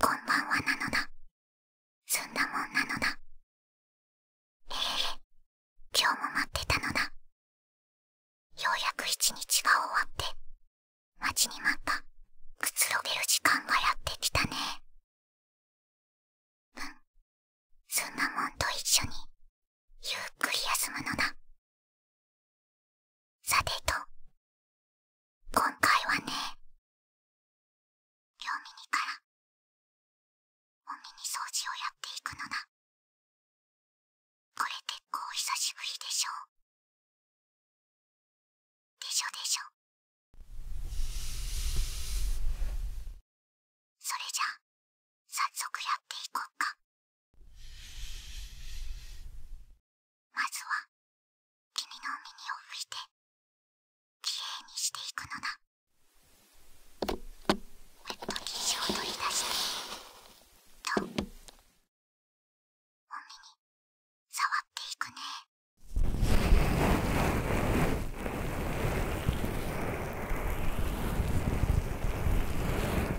こんばんはなのだ。すんだもんなのだ。ええ今日も待ってたのだ。ようやく一日が終わって、待ちに待った、くつろげる時間がやってきたね。うん、すんだもんと一緒に、ゆっくり休むのださてと今回はねミニからお耳掃除をやっていくのだこれ結構久しぶりでしょうでしょでしょそれじゃ早速やっていこうかまずは君のお耳を拭いてきれいにしていくのだペット生地を取り出しとお耳触っていくね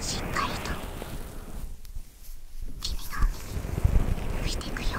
しっかりと君の耳にていくよ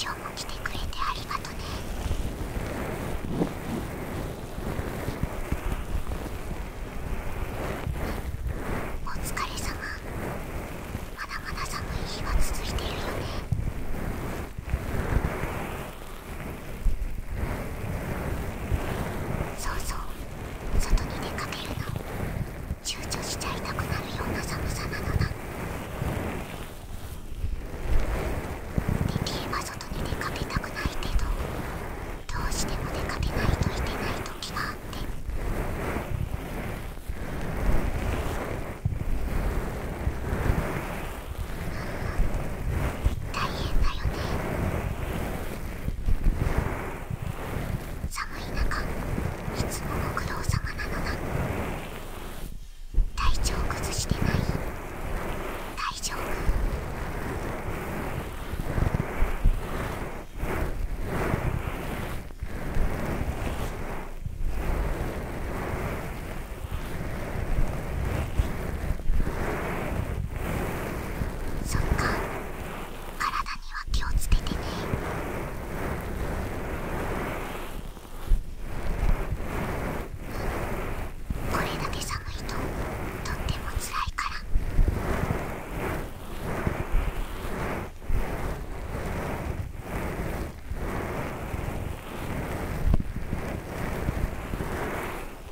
今日も来てくれてありがとねお疲れ様まだまだ寒い日が続いてるよねそうそう外に出かけるの躊躇しちゃいたくなるような寒さなのなできれば外に出かけたくないけどどうしても出かけないといけない時があって大変だよね寒い中いつもご苦労様なのだ体調崩してない大丈夫そっか体には気をつけてねこれだけ寒いととってもつらいから。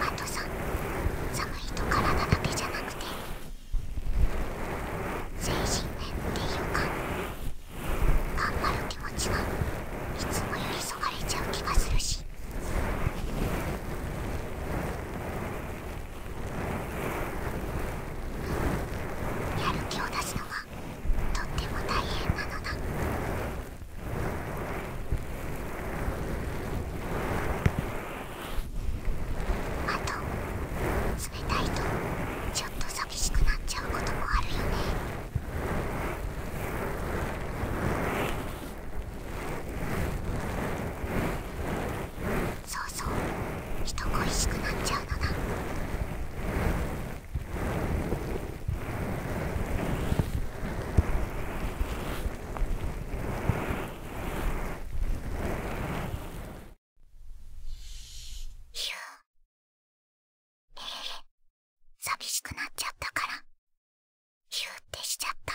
あとさ寒いと体だけじゃなくて精神面っていうか頑張る気持ちはいつもよりそがれちゃう気がするし。やる気を出すのはとっても大変なのだあと冷たいとちょっと寂しくなっちゃうこともあるよねそうそう人恋しくなっちゃうのだえー、寂しくなっちゃったからヒューってしちゃった。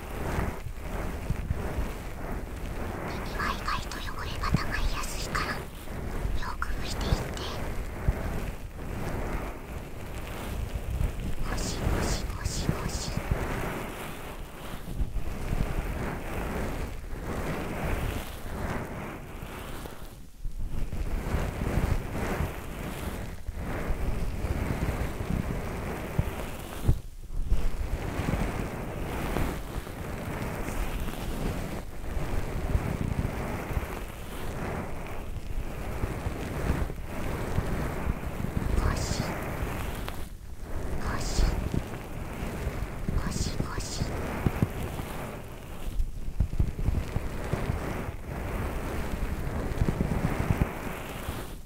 耳は意外と汚れがたまりやすいからよく拭いていってゴシゴシゴシゴシしごしごしご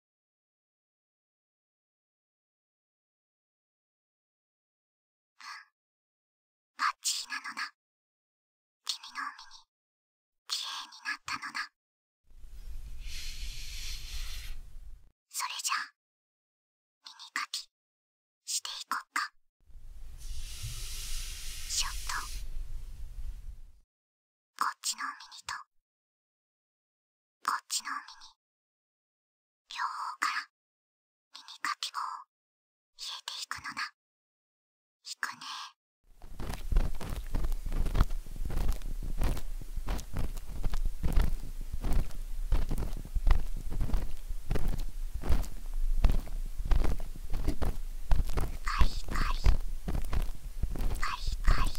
うん、バッチリなのだ君の海にきれいになったのだそれじゃあ耳かきしていこっかショットこっちの海にとこっちの耳両方から耳かき棒を入れていくのだいくねカリカリ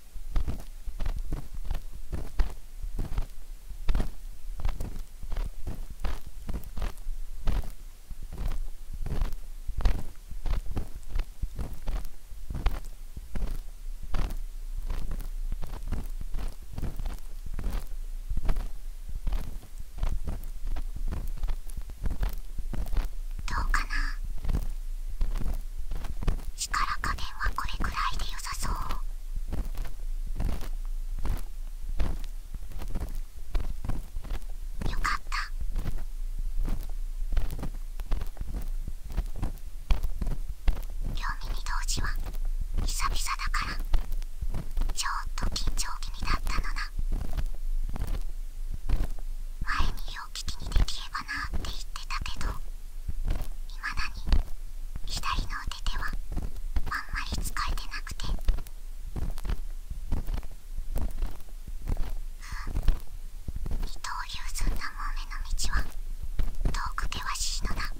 どうかな力加減はこれくらいでよさそう。よかった両耳同時は久々だからちょっと緊張気味だったのな前によう聞きにできればなって言ってたけどいまだに左の腕手はあんまり使えてなくて二刀流ずんだもめの道は遠く険しいのだ「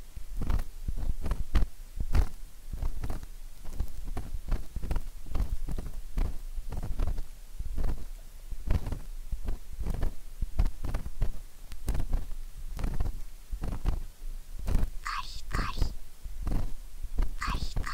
リカリカリカリカ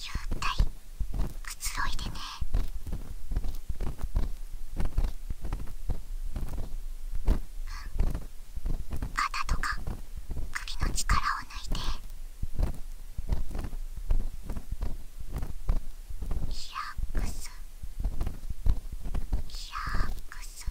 幽体、くつろいでねうん肩とか首の力を抜いてリラックスリラックス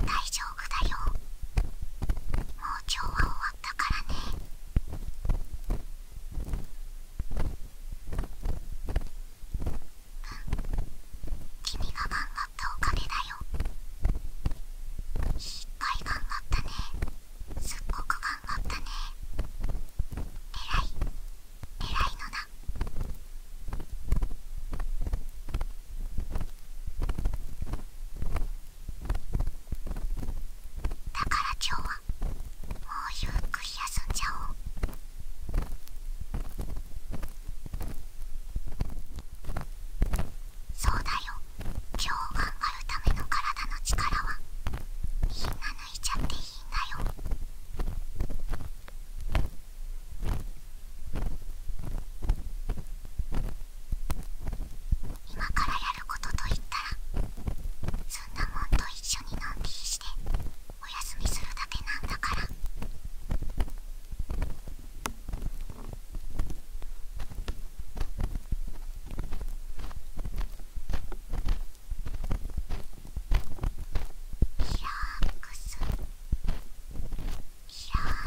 大丈夫だよもう今日は終わったからね君が頑張ったおかげだよいっぱい頑張ったねすっごく頑張ったねえらいえらいのだだから今日はもうゆっくり休んじゃおうそうだよ今日頑張るための体の力はみんな抜いちゃっていいんだよ今からやることといったらそんなもんと一緒にのんびりしてお休みするだけなんだから。リラッスリラッス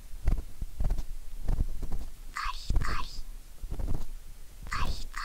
リカリカリカリカリカリカ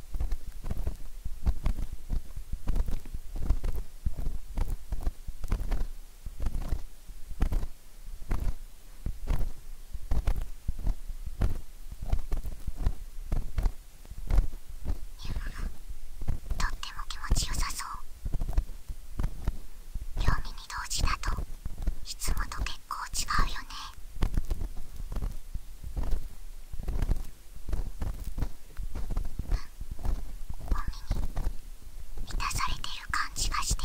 とっても気持ちよさそう両耳同時だといつもと結構違うよねに満たされてる感じがして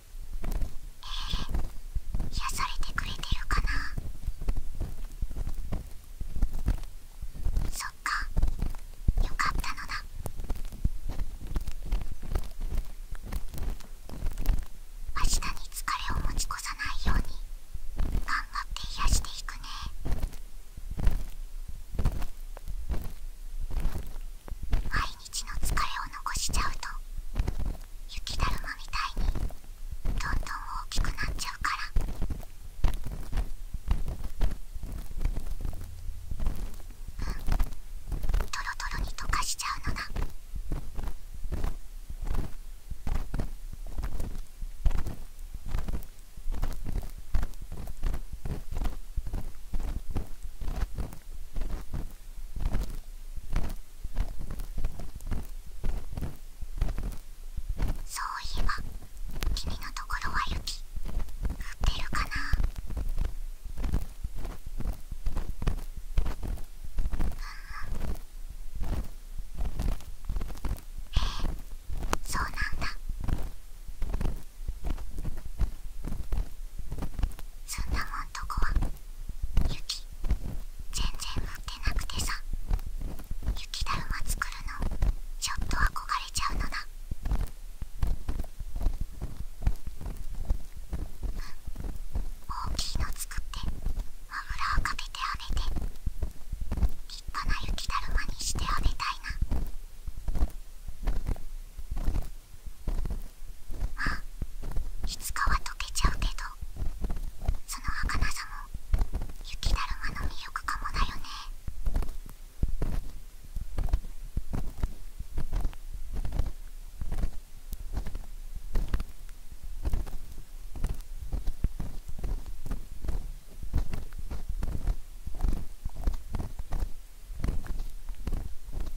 え、癒されてくれてるかなそっかよかったのだ明日に疲れを持ち越さないように頑張って癒していくねはい日の疲れを残しちゃうと雪だるまみたいにどんどん大きくなっちゃうから。とろとろに溶かしちゃうのだそういえば君のところは雪降ってるかなええそうなんだそんなもんとこは雪全然持ってなくてさ雪だるま作るのちょっと憧れちゃうのだうん大きいの作って油をかけてあげて立派な雪だるまにしてあげたいなあいつかは溶けちゃうけどその儚さも雪だるまの魅力かもだよね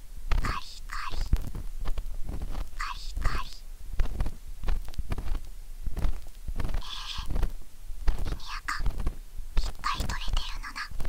カリカリカリカリええ耳垢いっぱい取れてるのな耳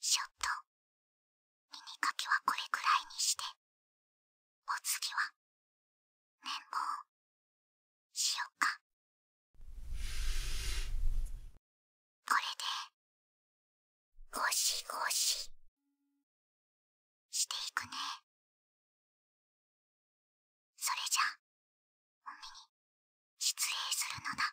ちょっと耳かきはこれくらいにしてお次は綿棒しよっかこれでゴシゴシしていくねそれじゃおみに失礼するのだ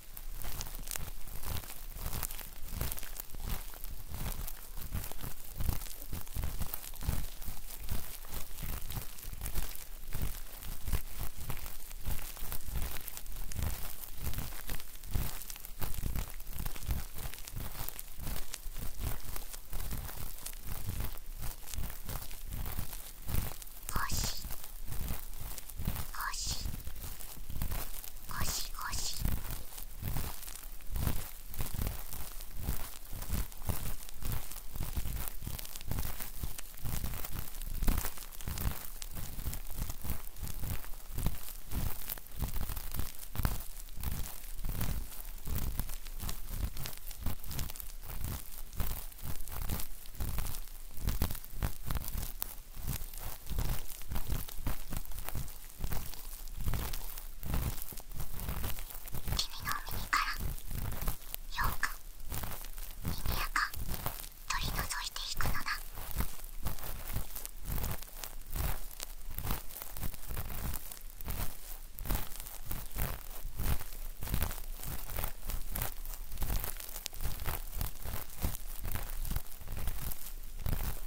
しゴシゴシ君の耳からよく耳やか取り除いていくのだ耳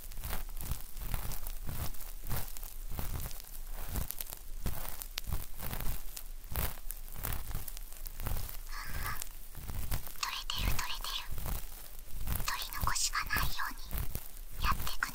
取れてる取れてる取り残しがないようにやってくね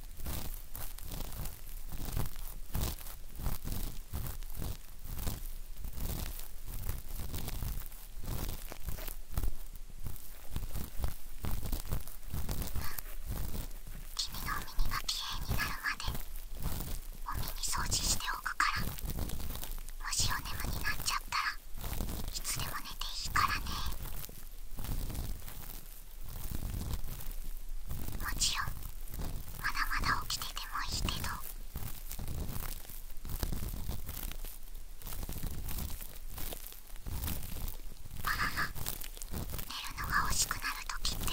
君のお耳がきれいになるまでお耳掃除しておくからもしおねむになっちゃったらいつでも寝ていいからねもちろんまだまだ起きててもいいけどあらら寝るのが惜しくなる時ってある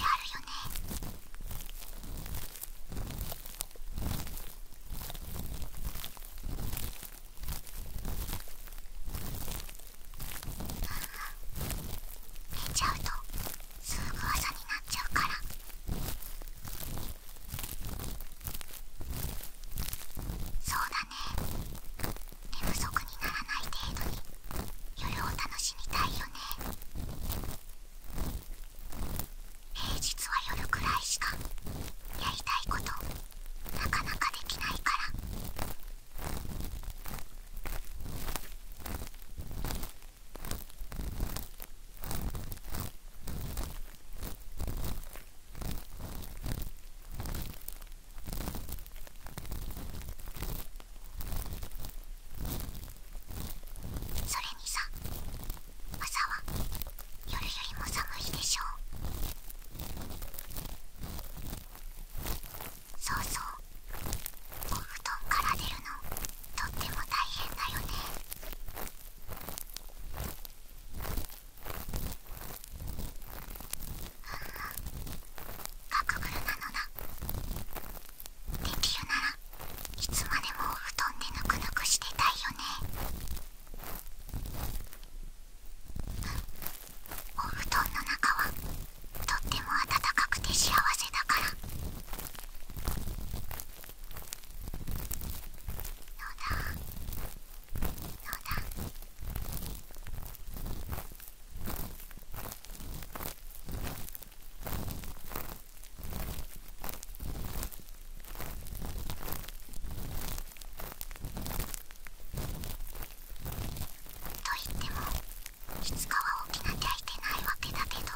よね寝ちゃうとすぐ朝になっちゃうからそうだね寝不足にならない程度に夜を楽しみたいよね平日は夜くらいしかやりたいことなかなかできないからそれにさ朝は夜よりも寒いでしょうそうそうお布団から出るのとっても大変だよねうん、ガクブルなのだできるならいつまでもお布団でぬくぬくしてたいよねお布団の中はとっても温かくて幸せだからのだのだといってもいつかは起きなきゃいけないわけだけど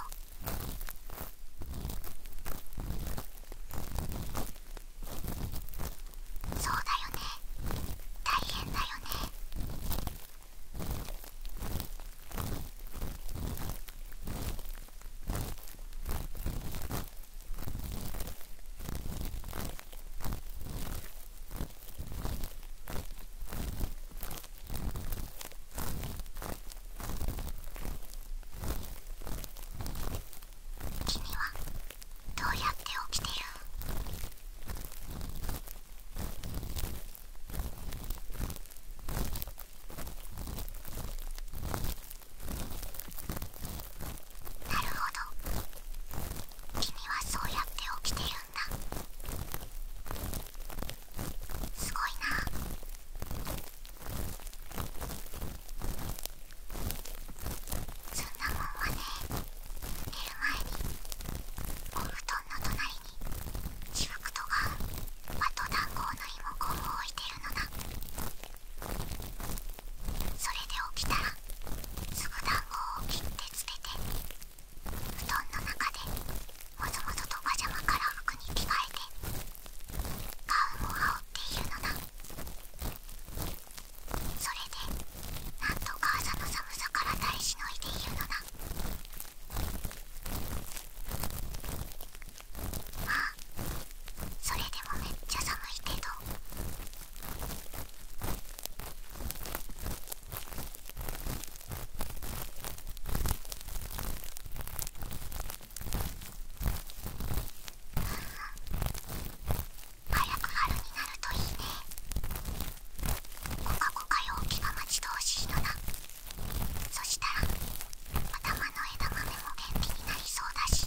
そうだよね大変だよね君はどうやって起きてるなるほど君はそうやって起きてるすごいなそんなもんはね寝る前にお布団の隣にシフクトがあと暖房のリモコンを置いてるのだそれで起きたらすぐ暖房を切ってつけて布団の中でもぞもぞとパジャマから服に着替えて顔もンをっているのだそれでなんとか朝の寒さから耐えしのいでいるのだまあそれでもめっちゃ寒いけど早く春になるといいねコカコカ陽気が待ち遠しいのだそしたら頭の枝豆も元気になりそうだし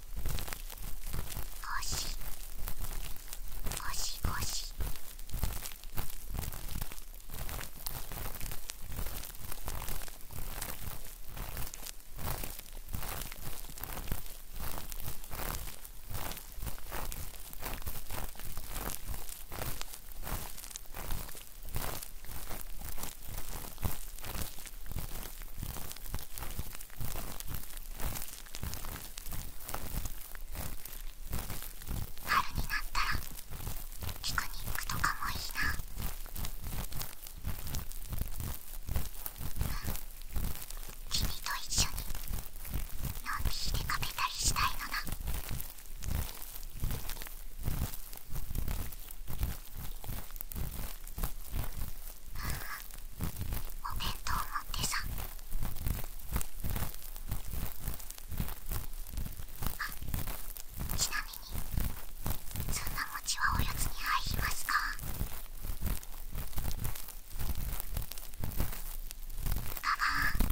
星しごしご春になったらピクニックとかもいいな、君と一緒にのんびりでかけたりしたいのなお弁当持ってさあちなみにそんな餅はおやつに入りますかだが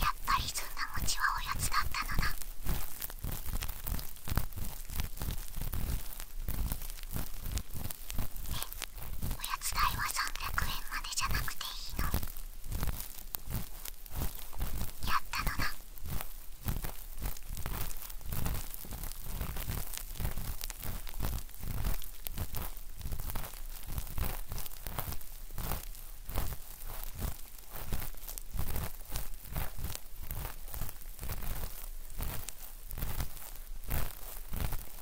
やっぱりそんな餅はおやつだったのだおやつ代は300円までじゃなくていいのやったのなお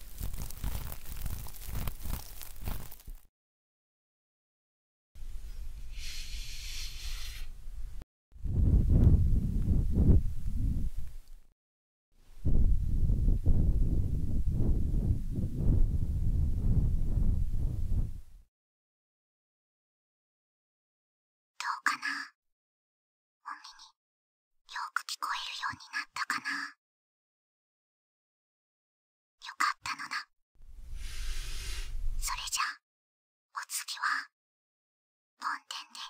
うかな耳によく聞こえるようになったかなよかったのだそれじゃお次は本天で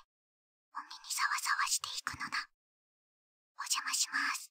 お耳にサワサワしていくのだお邪魔します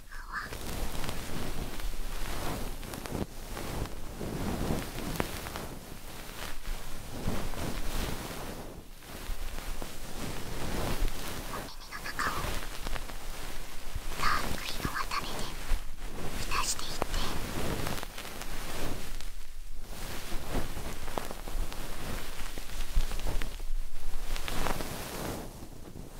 お耳の中をダっクりの渡りでたしていって。こ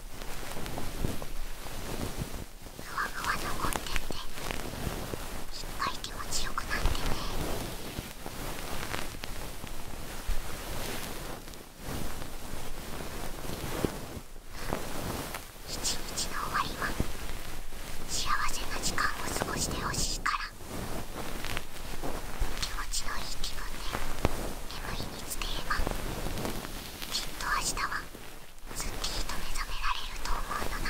ふわふわ残ってって一回気持ちよくなってね一日の終わりは幸せな時間を過ごしてほしいから気持ちのいい気分で眠りにつければきっと明日はすっきりと目覚められると思うのな。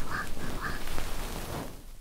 ふわふわ。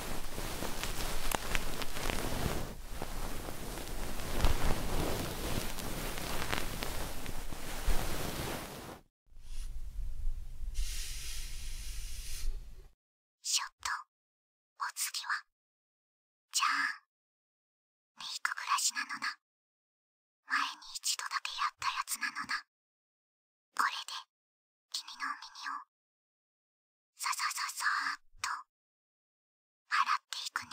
ちょっとお次はじゃあメイク暮らしなのな前に一度だけやったやつなのなこれで君のお耳をささささーっと洗っていくね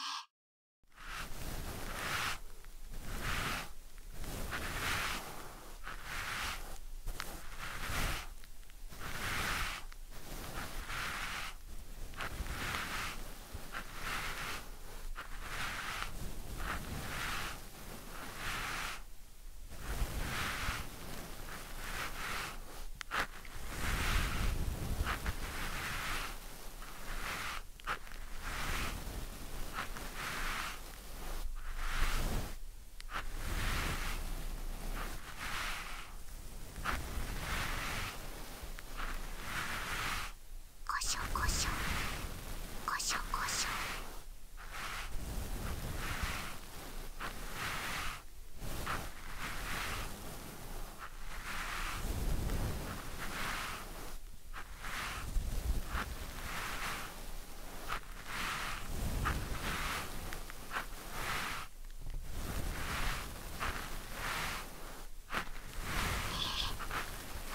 耳こしょこしょこしょこしょ。…えこ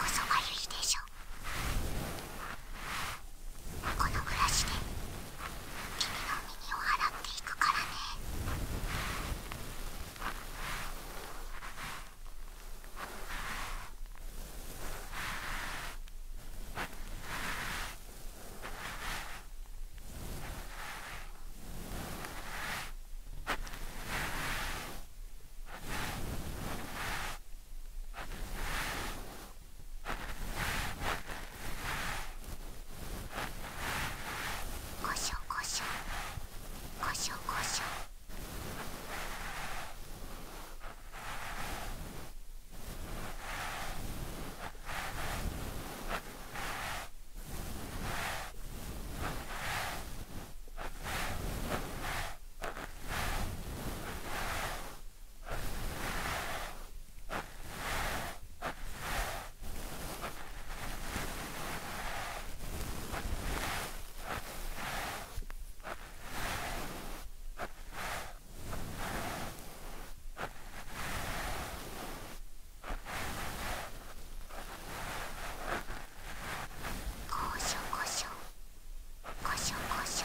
そがゆいでしょこのブラシで君の耳を払っていくからね耳こしょこしょこしょこしょこしょこしょこしょこしょこしょ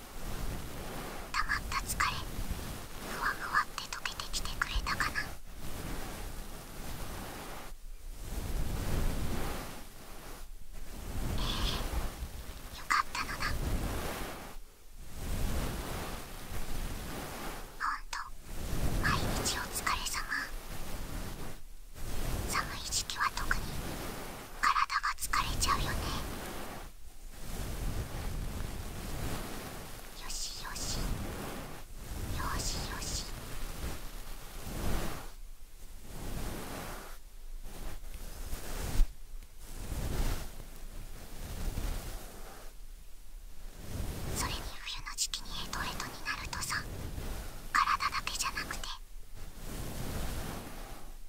たまった疲れふわふわって溶けてきてくれたかなええよかったのだほんと毎日お疲れ様寒い時期は特に体が疲れちゃうよねよしよしよしよしそれに冬の時期にヘとヘとになるとさ体だけじゃなくて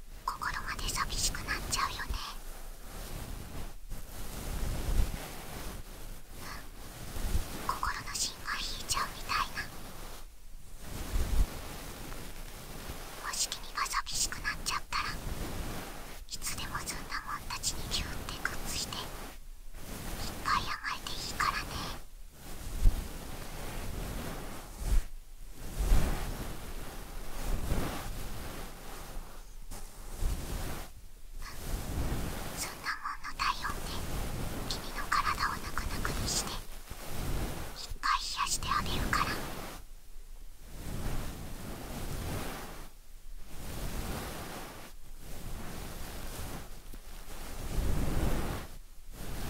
心まで寂しくなっちゃうよねうん心の芯が引いちゃうみたいなもし君が寂しくなっちゃったらいつでもずんだもんたちにギュってグッズしていっぱい甘えていいからねそんなもんの体温で君の体をぬくぬくにして一回冷やしてあげるから。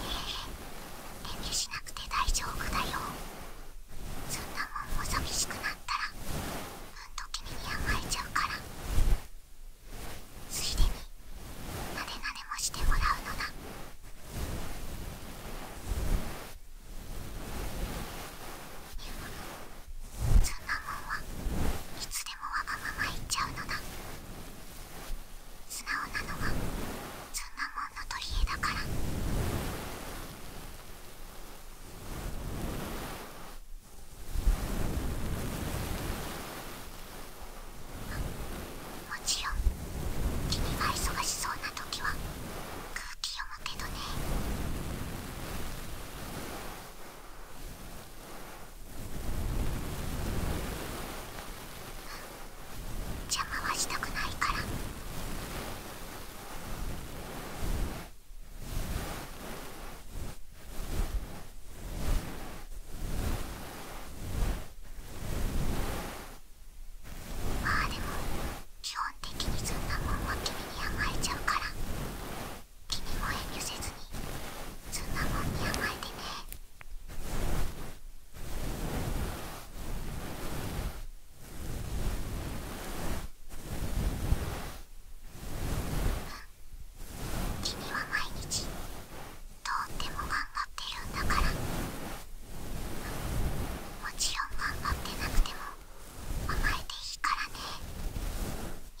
ええ遠慮しなくて大丈夫だよ。そんなもんも寂しくなったらうんと君に甘えちゃうからついでになでなでもしてもらうのだそんなもんはいつでもわがまま言っちゃうのだ素直なのはそんなもんの取り柄だからもちろん君が忙しそうな時は空気読むけどね邪魔はしたくないから。まあでも基本的にそんなもんは君に甘えちゃうから君も遠慮せずにそんなもんに甘えてね。君は毎日とっても頑張ってるんだからもちろん頑張ってなくても甘えていいからねあ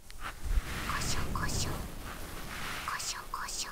こしょこしょこしょこしょ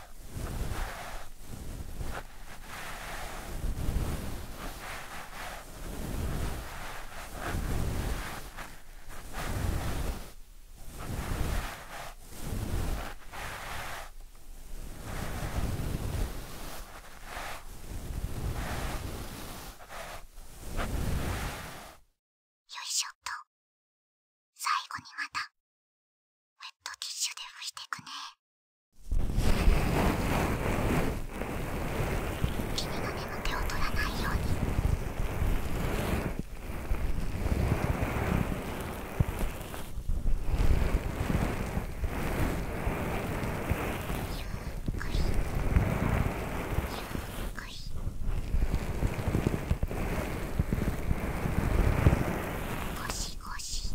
よいしょっと最後にまたウェットティッシュで拭いてくね君の目の手を取らないように。ゆっくりゆっくり。腰もしもし。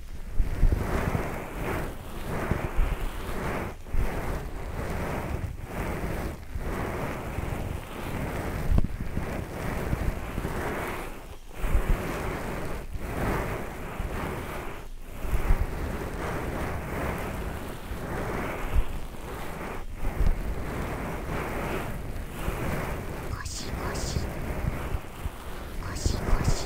ゴしゴし、ゴしゴし…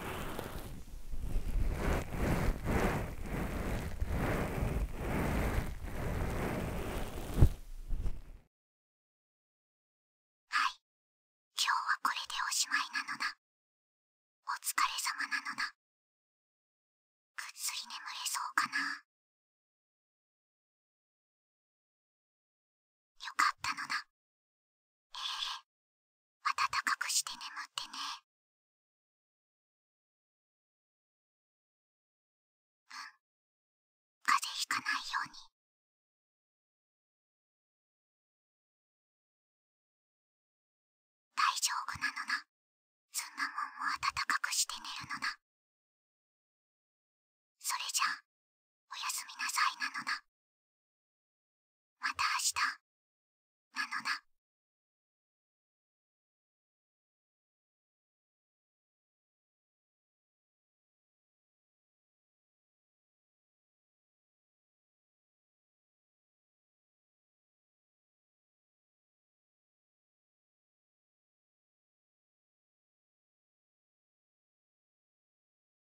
はい今日はこれでおしまいなのだお疲れ様なのだぐっすり眠れそうかなよかったのなええ温かくして眠ってねうん風邪ひかないように大丈夫なのなそんなもんも温かくして寝るのなそれじゃあおやすみなさいなのだまた明日なのだ